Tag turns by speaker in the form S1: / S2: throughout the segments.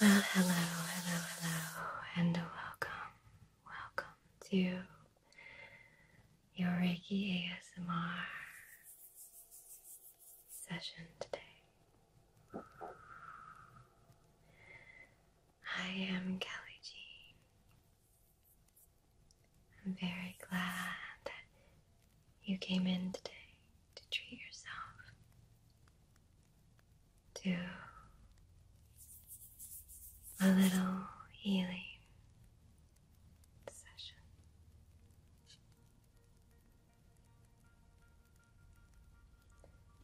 S1: Well, hello, hello, hello, and welcome, welcome to your Reiki ASMR session today. I am Kelly Jean. I'm very glad that you came in today to treat yourself to a little healing session.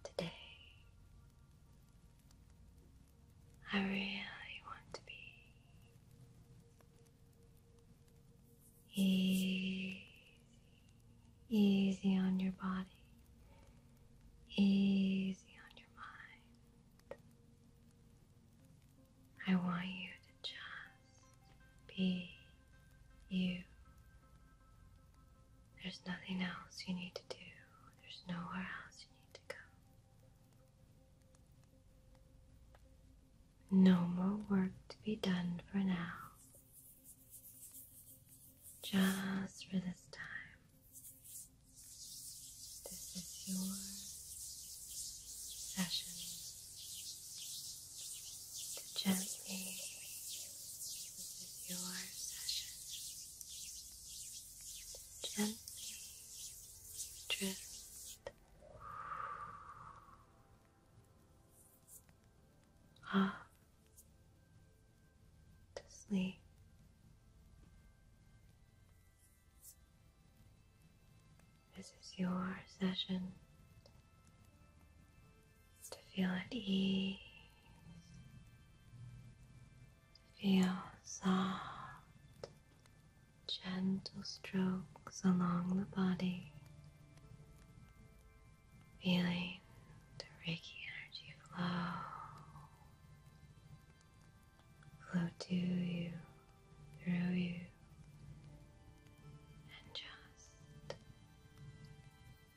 S1: Today, I really want to be Easy, easy on your body, easy on your mind. I want you to just be you. There's nothing else you need to do, there's nowhere else you need to go. No more work to be done for now. Just for this time. This is your session to gently. This is your session to gently drift off to sleep. This is your session to feel at ease, feel soft, gentle strokes along the body. Feeling the Reiki energy flow, flow to you, through you, and just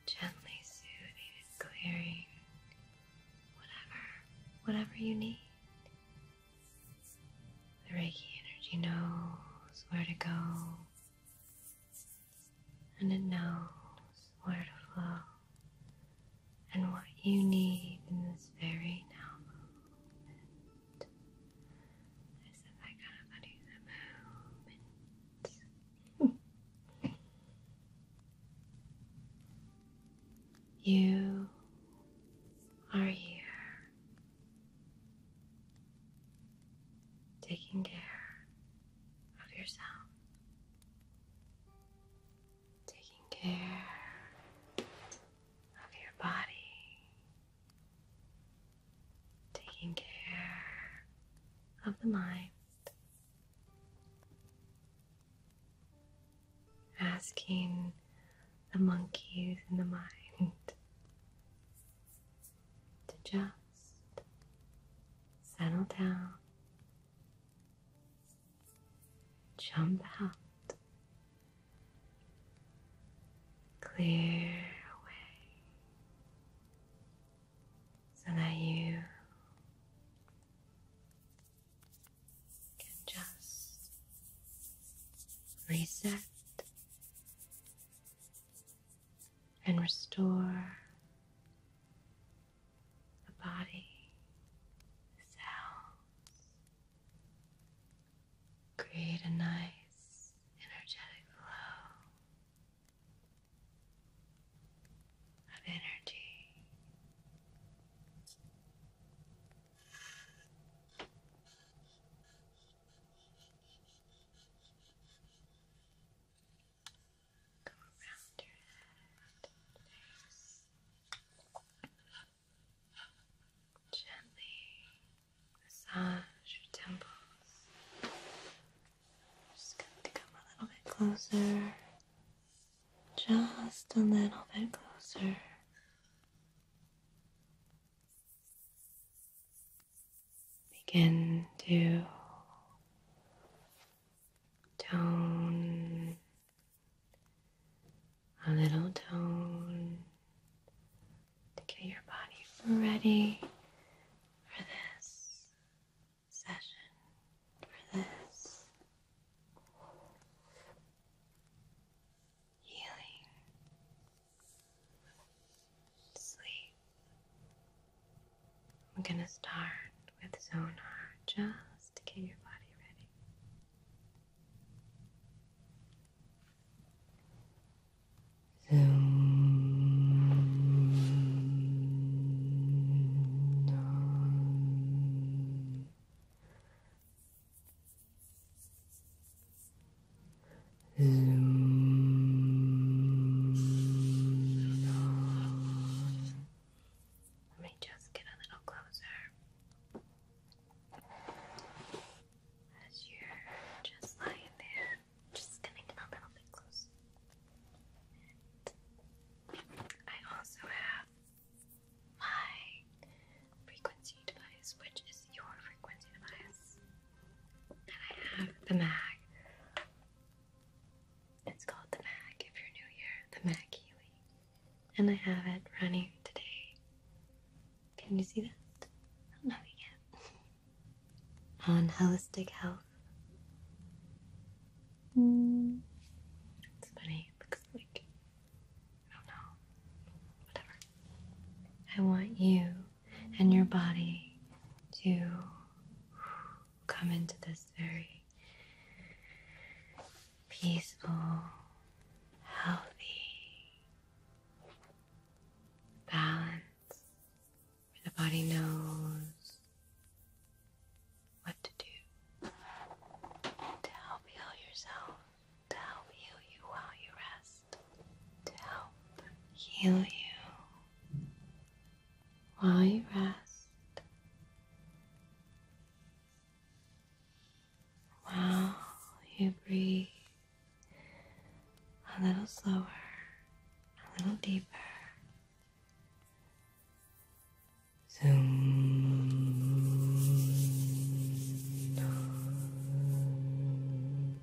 S1: gently soothing and clearing whatever, whatever you need. The Reiki energy knows where to go, and it knows where to flow and what you need in this very now moment. I said that kind of funny, the moment. you are here taking care of yourself, taking care of your body, taking care of the mind, asking the monkeys in the mind to just settle down, jump out, clear away so that you can just reset and restore the body, cells, create a nice energetic flow of energy. Go around your head. Gently massage your temples. just going to come a little bit closer. Just a little bit closer begin to tone a little tone to get your body ready for this session, for this healing sleep. We're going to start with zonar, just to get your body ready. Zoom. Let me just get a little closer. As you're just lying there, just going a little bit closer. I also have my frequency device, which is your frequency device. And I have the Mac. It's called the Mac. if you're new here, the mag Healy. And I have it running today. Can you see that? I don't know On holistic health. It's funny, looks like I don't know. Whatever. I want you and your body to come into this very peaceful, healthy balance the body knows what to do to help heal yourself to help heal you while you rest, to help heal you while you rest, while you breathe a little slower, a little deeper. Zoom.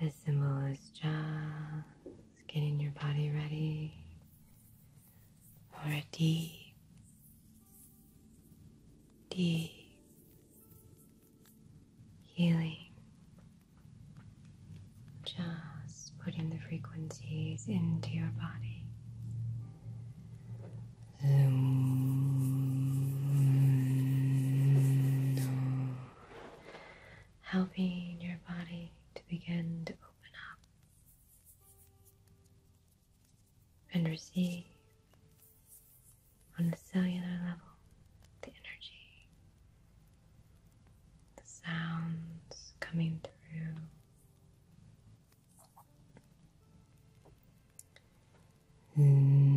S1: This symbol is just getting your body ready for a deep, deep healing. Just putting the frequencies into your body helping your body to begin to open up and receive on the cellular level the energy, the sounds coming through. Mm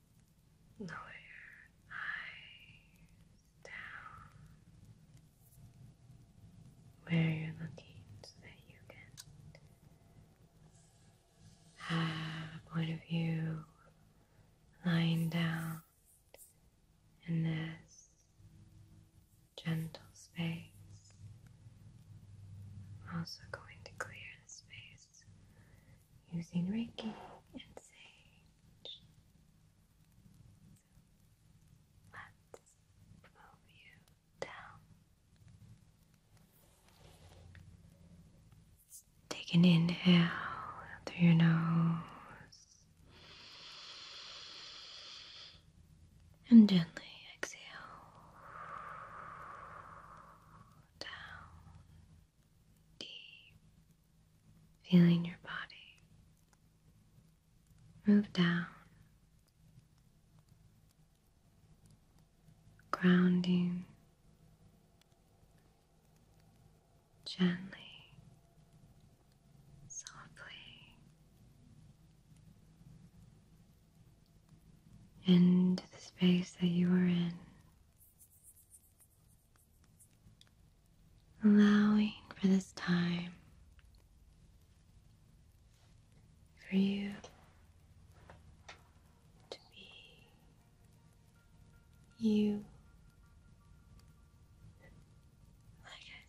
S1: Lower eyes down where you're looking so that you can have one of you lying down in this gentle space. I'm also going to clear using Reiki and Sage. let's move you down. Take an inhale through your nose and gently exhale down deep, feeling your body move down, grounding gently, softly into the space that you are in, allowing for this time for you to be you. Like I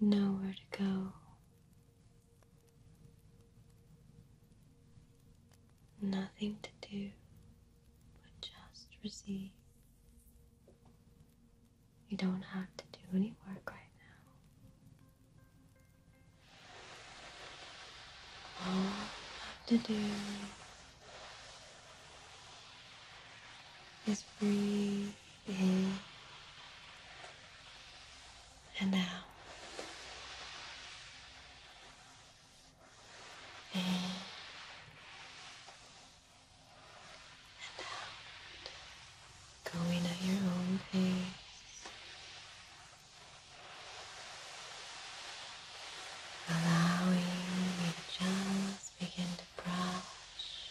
S1: said, nowhere to go Nothing to do but just receive. You don't have to do any work right now. All you have to do is breathe and now, and out. Going at your own pace. Allowing me just begin to brush,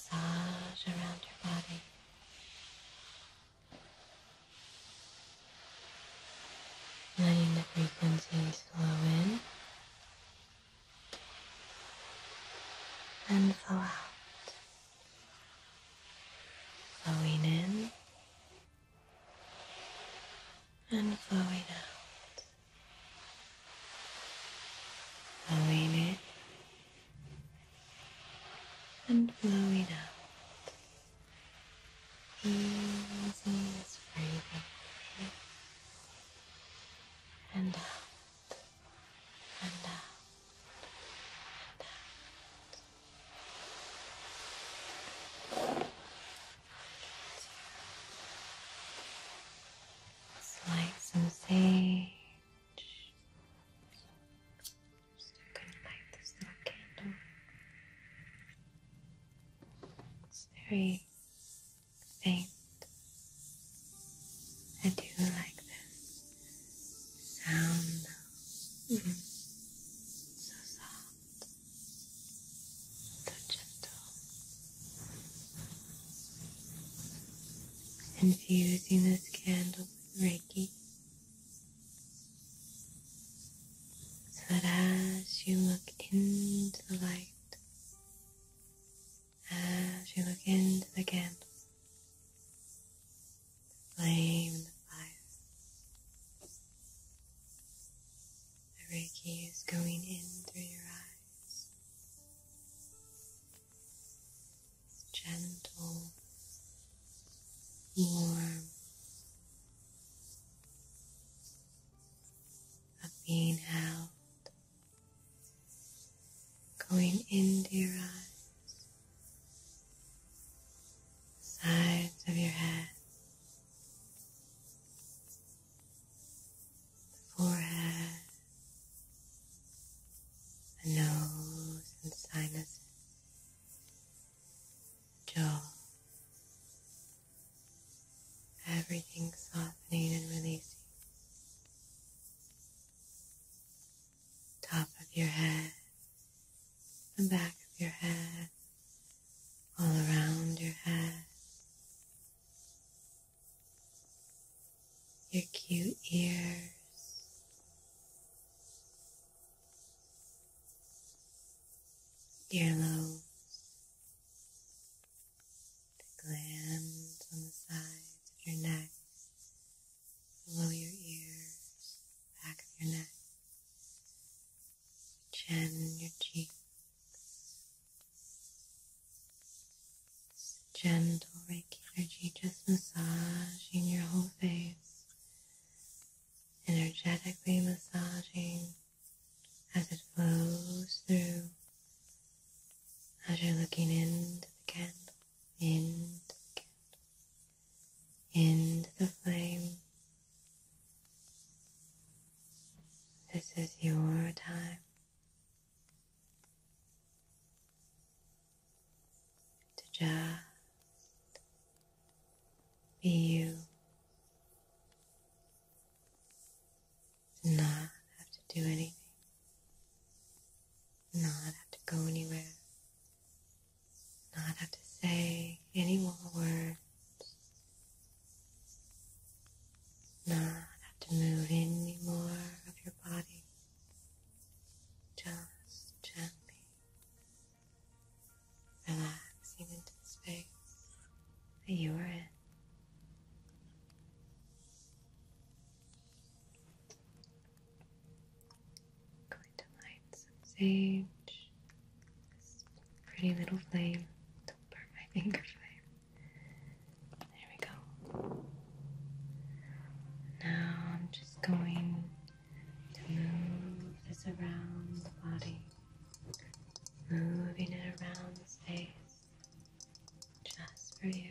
S1: massage around your body letting the frequencies flow in and flow out, flowing in and flowing out, flowing in and blow it out. Easy as breathing in and out and out and out. Slice some sage. Just to light this little candle. It's very faint. I do like this sound though. Mm So soft, so gentle. Infusing this candle with Reiki so that as you look into the light, as you look into the candle, the flame and the fire, the Reiki is going in through your eyes gentle, warm of being held, going into your eyes, sides of your head, the forehead, the nose and sinuses jaw. Everything softening and releasing. Top of your head, the back of your head, all around your head. Your cute ears, earlobes, the glands on the sides of your neck, below your ears, back of your neck, chin your cheeks. Gentle regular, energy massage in your whole face energetically massaging as it flows through, as you're looking into the candle, into the candle, into the flame. This is your time to just be you not have to do anything, not have to go anywhere, not have to say any more words, not have to move any more of your body, just gently relaxing into the space that you are in. going to light some sage, this pretty little flame. Don't burn my finger flame. There we go. Now I'm just going to move this around the body, moving it around the space just for you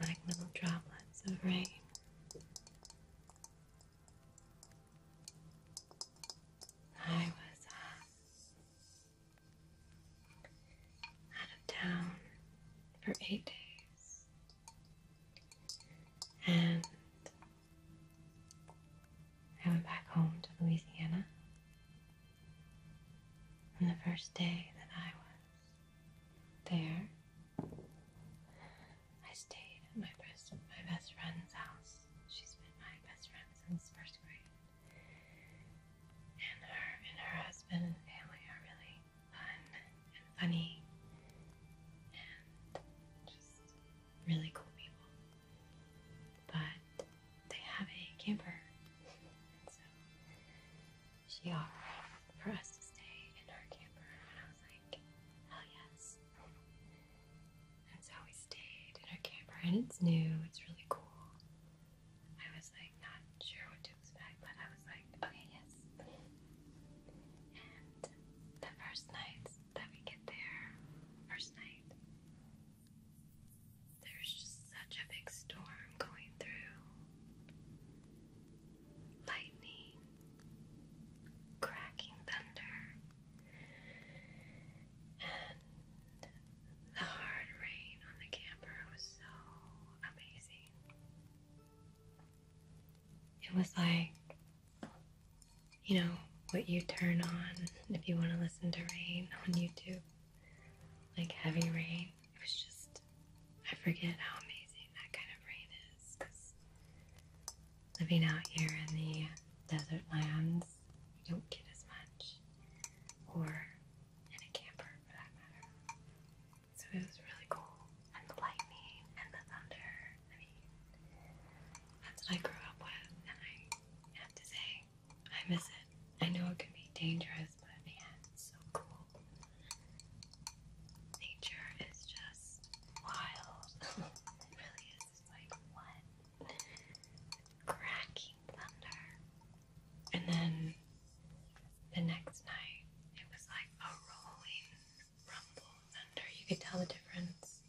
S1: like little droplets of rain. I was uh, out of town for eight days, and I went back home to Louisiana. And the first day that I was there, I stayed at my best, my best friend's house. She's been my best friend since first grade. And her and her husband and family are really fun and funny really cool people. But they have a camper. so she offered for us to stay in her camper. And I was like, hell yes. That's how we stayed in our camper. And it's new, it's really cool. I was like, not sure what to expect, but I was like, okay, yes. And the first night that we get there, first night, there's just such a big storm going through. Lightning, cracking thunder, and the hard rain on the camper was so amazing. It was like you know, what you turn on if you want to listen to rain on YouTube, like heavy rain. It was just, I forget how amazing that kind of rain is. Living out here in the desert lands, you don't get as much, or in a camper for that matter. So it was really cool and the lightning and the thunder. I mean, that's what I grew up with, and I have to say, I miss it. I know it can be dangerous, but man, it's so cool. Nature is just wild. it really is like what? Cracking thunder. And then the next night, it was like a rolling rumble, thunder. You could tell the difference.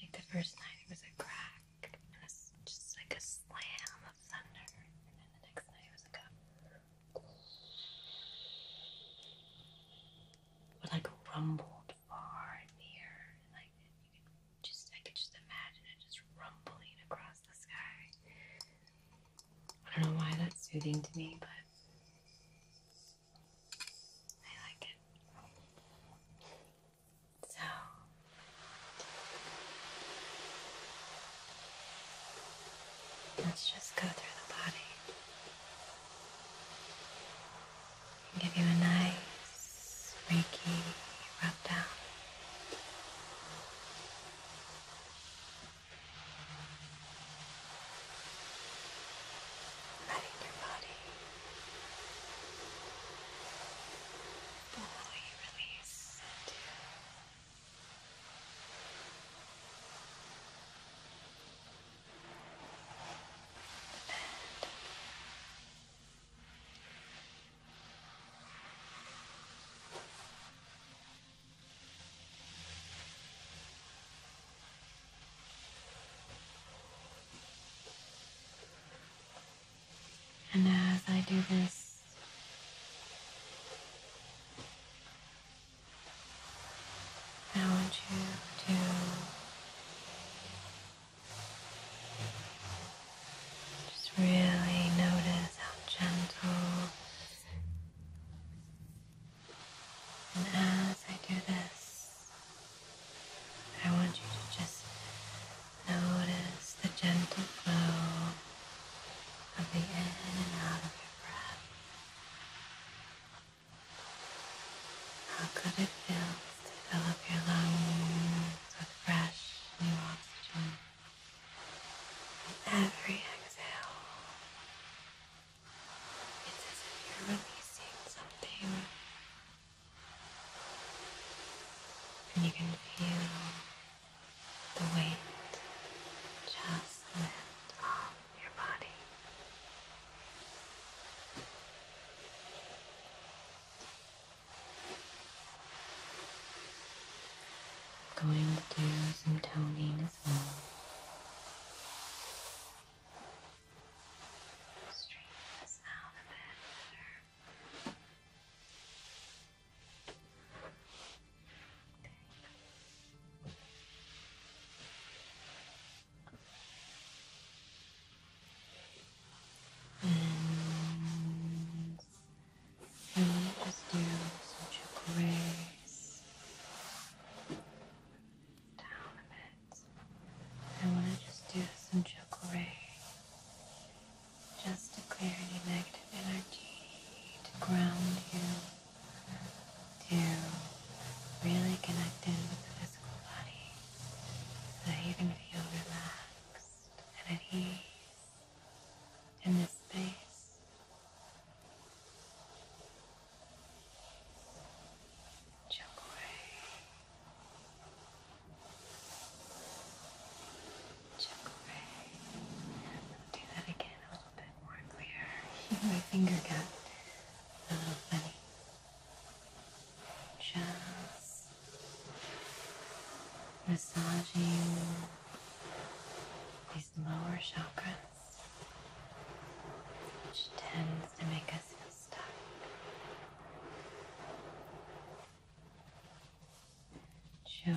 S1: Like the first night, it was a crack and a, just like a slam of thunder, and then the next night it was a but like rumbled far and near, like just I could just imagine it just rumbling across the sky. I don't know why that's soothing to me, but I like it. So let's just go through the body and give you a nice Reiki rub down letting your body fully release into the bed. Now and as I do this, I want you to just really notice how gentle and as I do this, I want you to just notice the gentle flow of the in and out of your breath. How good it feels to fill up your lungs with fresh new oxygen. And every exhale, it's as if you're releasing something, and you can feel the weight just lift off your body. I'm going to do some toning as well. Straighten this out a bit better. And I want to just do such a grace down a bit. I want to just do some chakra, just to clear any negative energy, to ground you, to really connect in with the physical body, so that you can feel relaxed and at ease in this space. Chakra, away. Do that again a little bit more clear. My finger got uh, a little funny. Just massaging these lower chakras which tends to make us feel stuck. Joe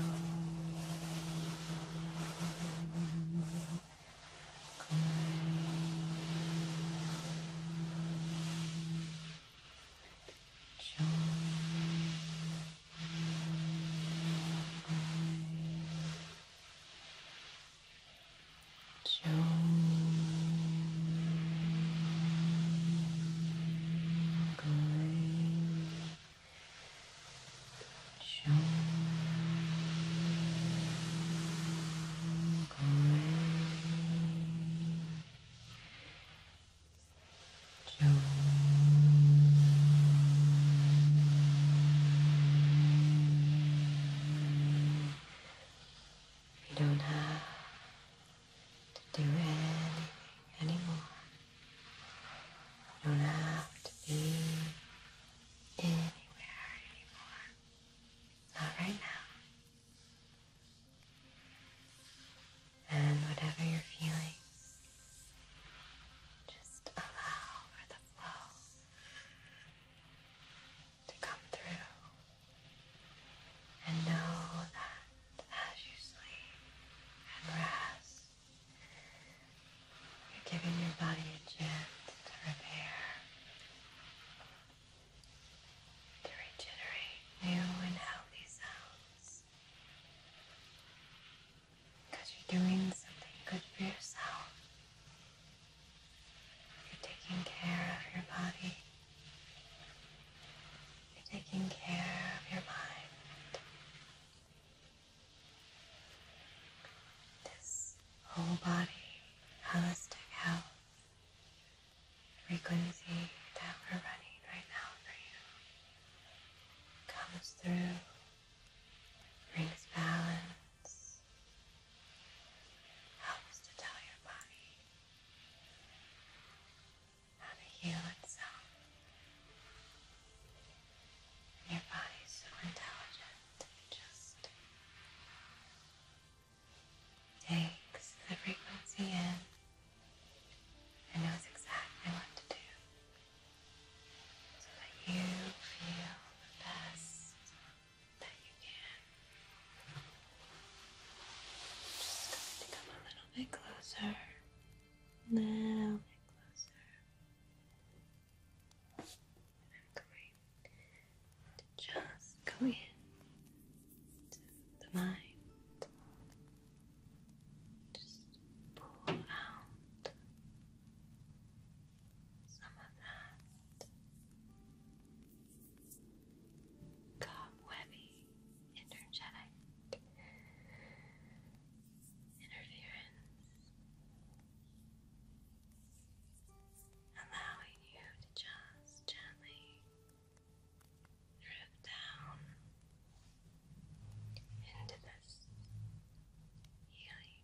S1: Joy, jingling, jingling, jingling. You don't have to do anything anymore. You don't have to be anywhere anymore. Not right now. And whatever you're just allow for the flow to come through. And know that as you sleep and rest, you're giving your body a chance to repair, to regenerate new and healthy cells because you're doing something good for yourself. You're taking care of your body. You're taking care of your mind. This whole body, holistic health, frequency that we're running right now for you comes through, brings balance helps to tell your body how to heal itself. And your body's so intelligent, it just takes the frequency in and knows exactly what to do so that you feel the best that you can. just going to come a little bit closer, a little bit closer. I'm going to just go in to the mind. Just pull out some of that cobwebby, energetic interference, allowing you to just gently drift down into this healing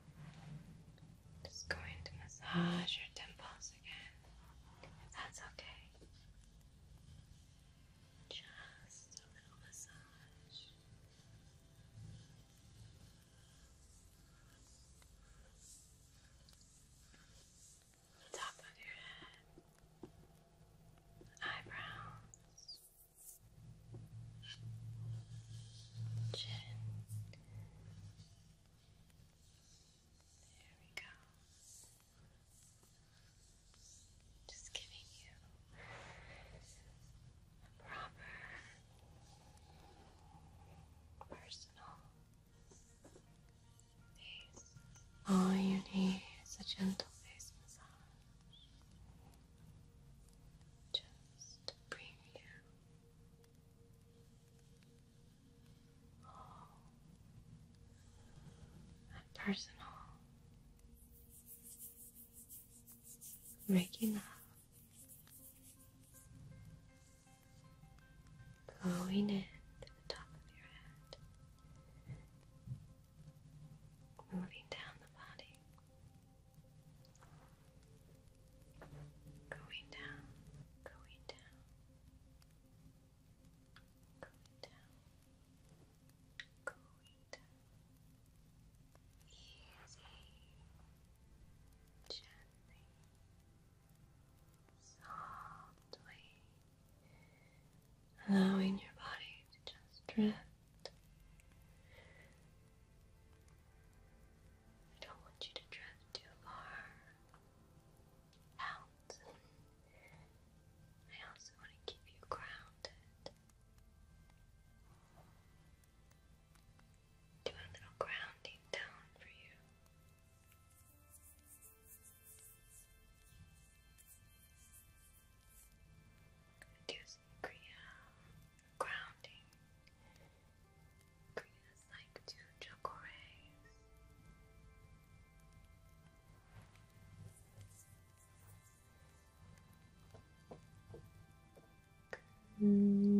S1: Just going to massage your temples again. If that's okay. Just a little massage. The top of your head, eyebrows, Chin. There we go. Just giving you a proper personal face. All you need is a gentle face massage. Just just bring you home personal, waking up, blowing in to the top of your head. Moving down the body, Going down, going down, going down, going down. Easy, gently, softly, allowing your body to just drift. I don't want you to drift too far out. I also want to keep you grounded. Do a little grounding down for you. Do some Kriya grounding. Creates like two chocorays. Mm.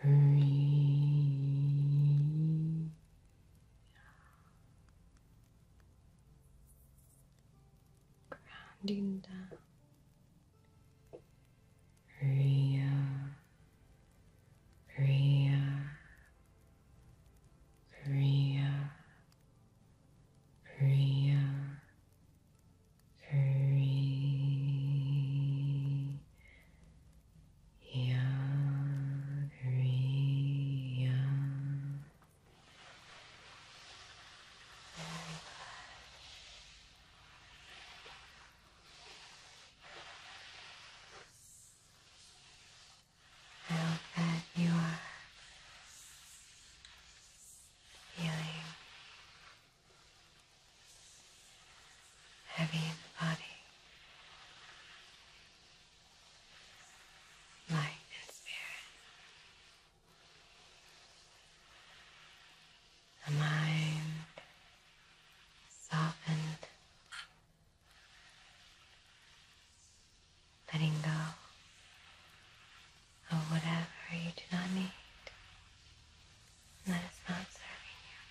S1: free. Grounding down. Ria, Ria, Ria, Ria, three, yeah, yeah. Very good. How you are feeling heavy in the body, light in spirit, a mind softened, letting go of whatever you do not need that is not serving you.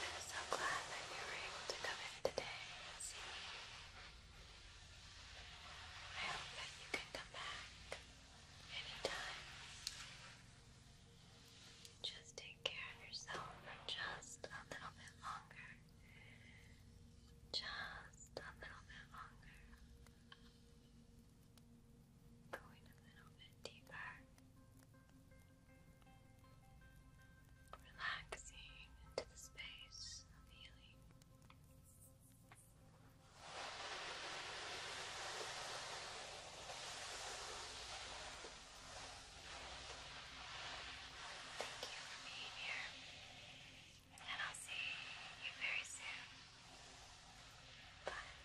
S1: I'm so glad that you were able to come in today and see me. I hope that you can come back anytime. Just take care of yourself for just a little bit longer. Just a little bit longer. Going a little bit deeper. Relaxing into the space of healing. Thank you for being here and I'll see you very soon. Bye.